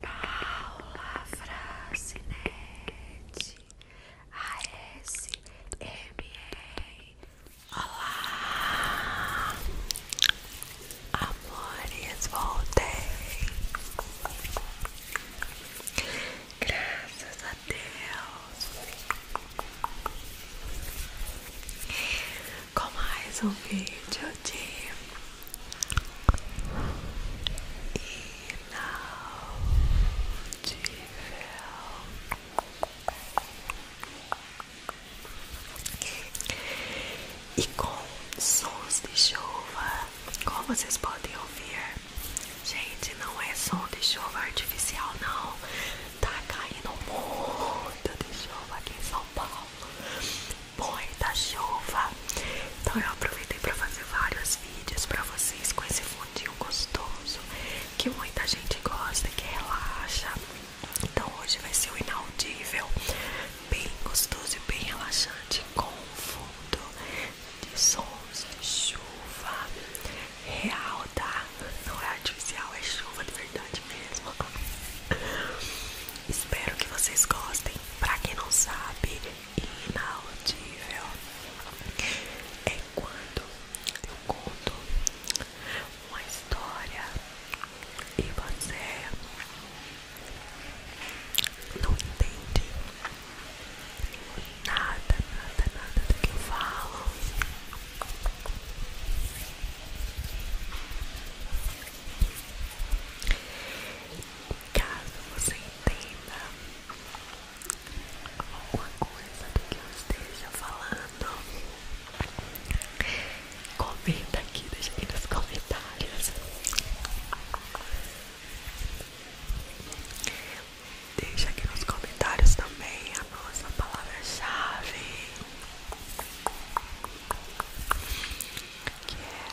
Paula Francinete E, Olá Amores, voltei Graças a Deus Com mais um vídeo de e com sons de chuva, como vocês podem ouvir, gente, não é som de chuva artificial, não. Tá caindo um de chuva aqui em São Paulo depois da chuva. Então eu aproveitei para fazer vários vídeos para vocês com esse fundinho gostoso que muita gente gosta, que relaxa. Então hoje vai ser o inaudível, bem gostoso e bem relaxante com fundo de sons de chuva real, tá? Não é artificial, é chuva de verdade mesmo. Espero que vocês gostem Pra quem não sabe, inaudível é quando eu conto uma história e você não entende nada, nada, nada do que eu falo caso você entenda alguma coisa do que eu esteja falando, comenta aqui, deixa aqui nos comentários. Deixa aqui nos comentários também a nossa palavra-chave, que é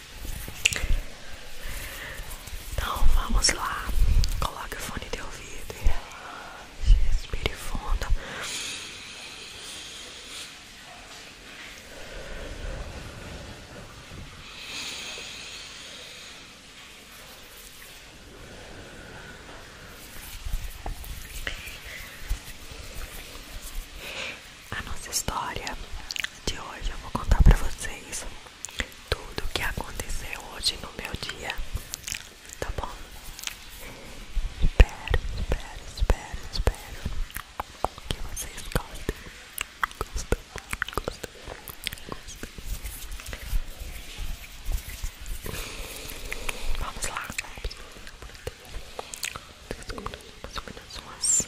Então vamos lá, coloque o fone de ouvido e respire fundo. A nossa história de hoje eu vou contar para vocês tudo que aconteceu hoje no meu dia, tá bom? Espero, espero, espero, espero que vocês gostem. Gostam, gostam, Vamos lá. Desculpa, umas.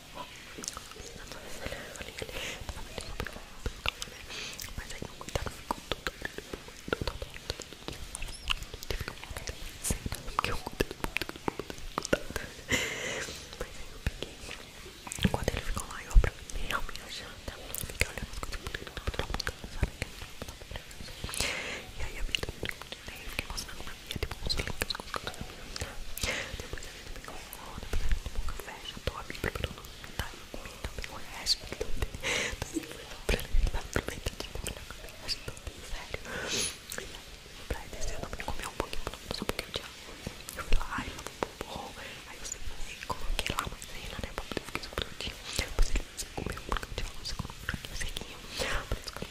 Mas aí não cuidado ficou tudo porque eu Mas aí eu peguei Enquanto ele ficou lá, eu aproveitei a minha janta Fiquei olhando as coisas E aí a vida eu fiquei mostrando comia, tipo, uns links com os que eu Depois a gente pegou um depois a gente tomou um café, jantou, a gente preparou no tá eu comi também o resto, então assim, foi tão pra gente lá pro meio de comer, a gente não tem sério. E aí, pra descer, eu também comi um pouquinho, só um pouquinho de arroz. Eu fui lá, eu lavei um bombom, aí eu sentei, coloquei lá uma cena, né, pra poder ficar escrutando. Depois ele comeu um pouquinho de arroz, eu coloquei um sequinho, por isso que eu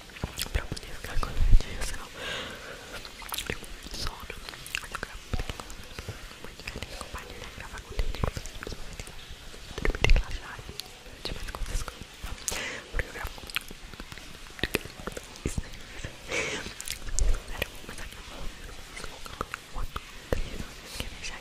pra poder ficar com a radiação. Eu com sono, mas eu gravo muito feliz, compartilhar, gravar conteúdo com vocês, dormir, relaxar, demais com essas coisas, tá? Porque eu gravo isso, isso. Espera, vou começar a gravar. Vou colocar um outro, três, não sei se quer deixar.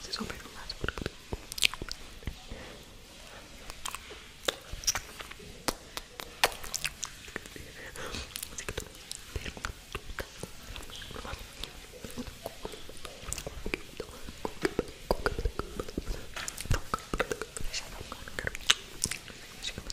Vocês vão perguntar por quê? Deixa eu ver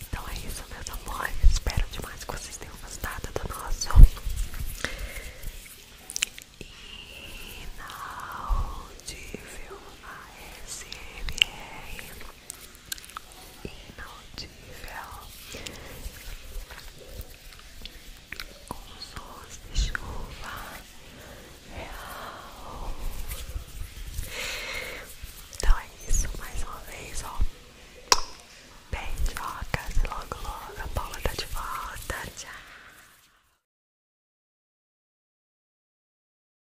Então é isso, meus amores. Espero demais que vocês tenham gostado do nosso. Inaudível ASMR inaudível com sons de chuva real. Então é isso, mais uma vez, ó. Beijocas e logo logo a Paula tá de volta. Tchau.